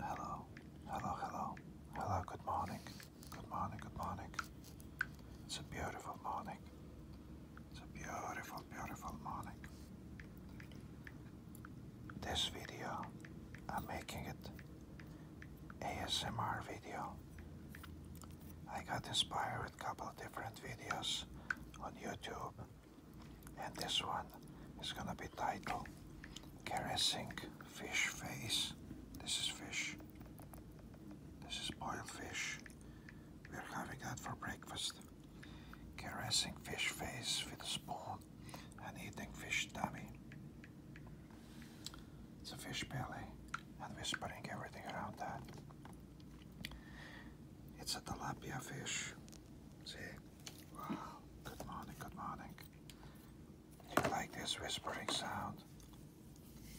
Hello, hello, hello, hello, good morning, good morning, good morning. It's a beautiful morning. It's a beautiful, beautiful morning. This video, I'm making it ASMR video. I got inspired a couple of different videos on YouTube and this one is gonna be titled Caressing Fish Face. This is fish. This is boiled fish. We're having that for breakfast. Caressing fish face with a spoon and eating fish tummy. It's a fish belly and whispering everything around that. It's a tilapia fish. See? Wow. Good morning, good morning. Do you like this whispering sound?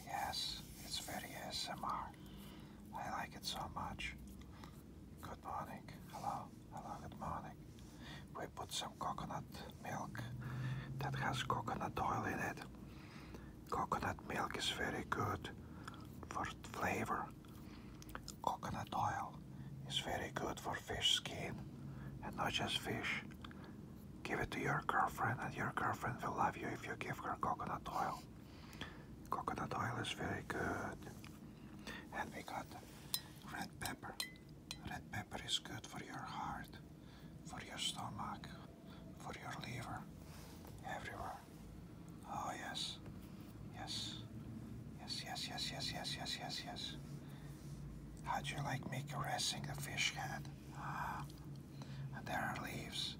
Yes, it's very ASMR. I like it so much. Good morning. Hello, hello, good morning. We put some coconut milk that has coconut oil in it. Coconut milk is very good for flavor. Coconut oil is very good for fish skin and not just fish. Give it to your girlfriend and your girlfriend will love you if you give her coconut oil. Coconut oil is very good. And we got red pepper. Red pepper is good for your heart, for your stomach, for your liver everywhere. Oh yes. Yes. Yes, yes, yes, yes, yes, yes, yes, how do you like me caressing the fish head? Ah, there are leaves,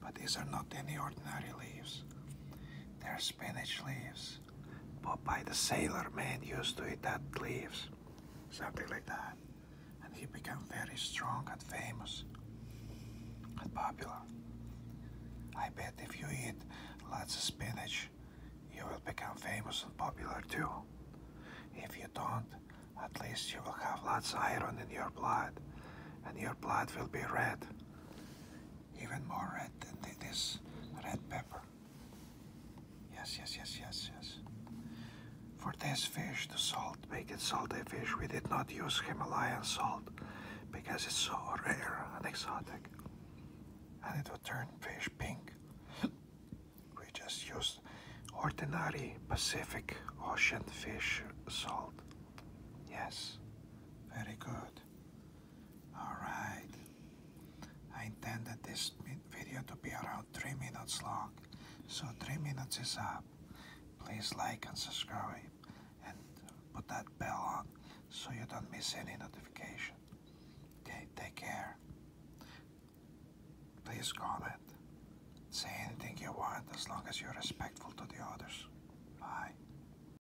but these are not any ordinary leaves. They're spinach leaves. But by the sailor man used to eat that leaves. Something like that and he became very strong and famous and popular. I bet if you eat lots of spinach, you will become famous and popular too. If you don't, at least you will have lots of iron in your blood, and your blood will be red. Even more red than this red pepper. Yes, yes, yes, yes, yes. For this fish, the salt, make it salty fish, we did not use Himalayan salt because it's so rare and exotic. And it would turn fish pink. we just used ordinary Pacific Ocean fish salt. Yes, very good. Alright, I intended this video to be around 3 minutes long, so 3 minutes is up. Please like and subscribe and put that bell on so you don't miss any notification. Okay, take care. Please comment. Say anything you want as long as you're respectful to the others. Bye.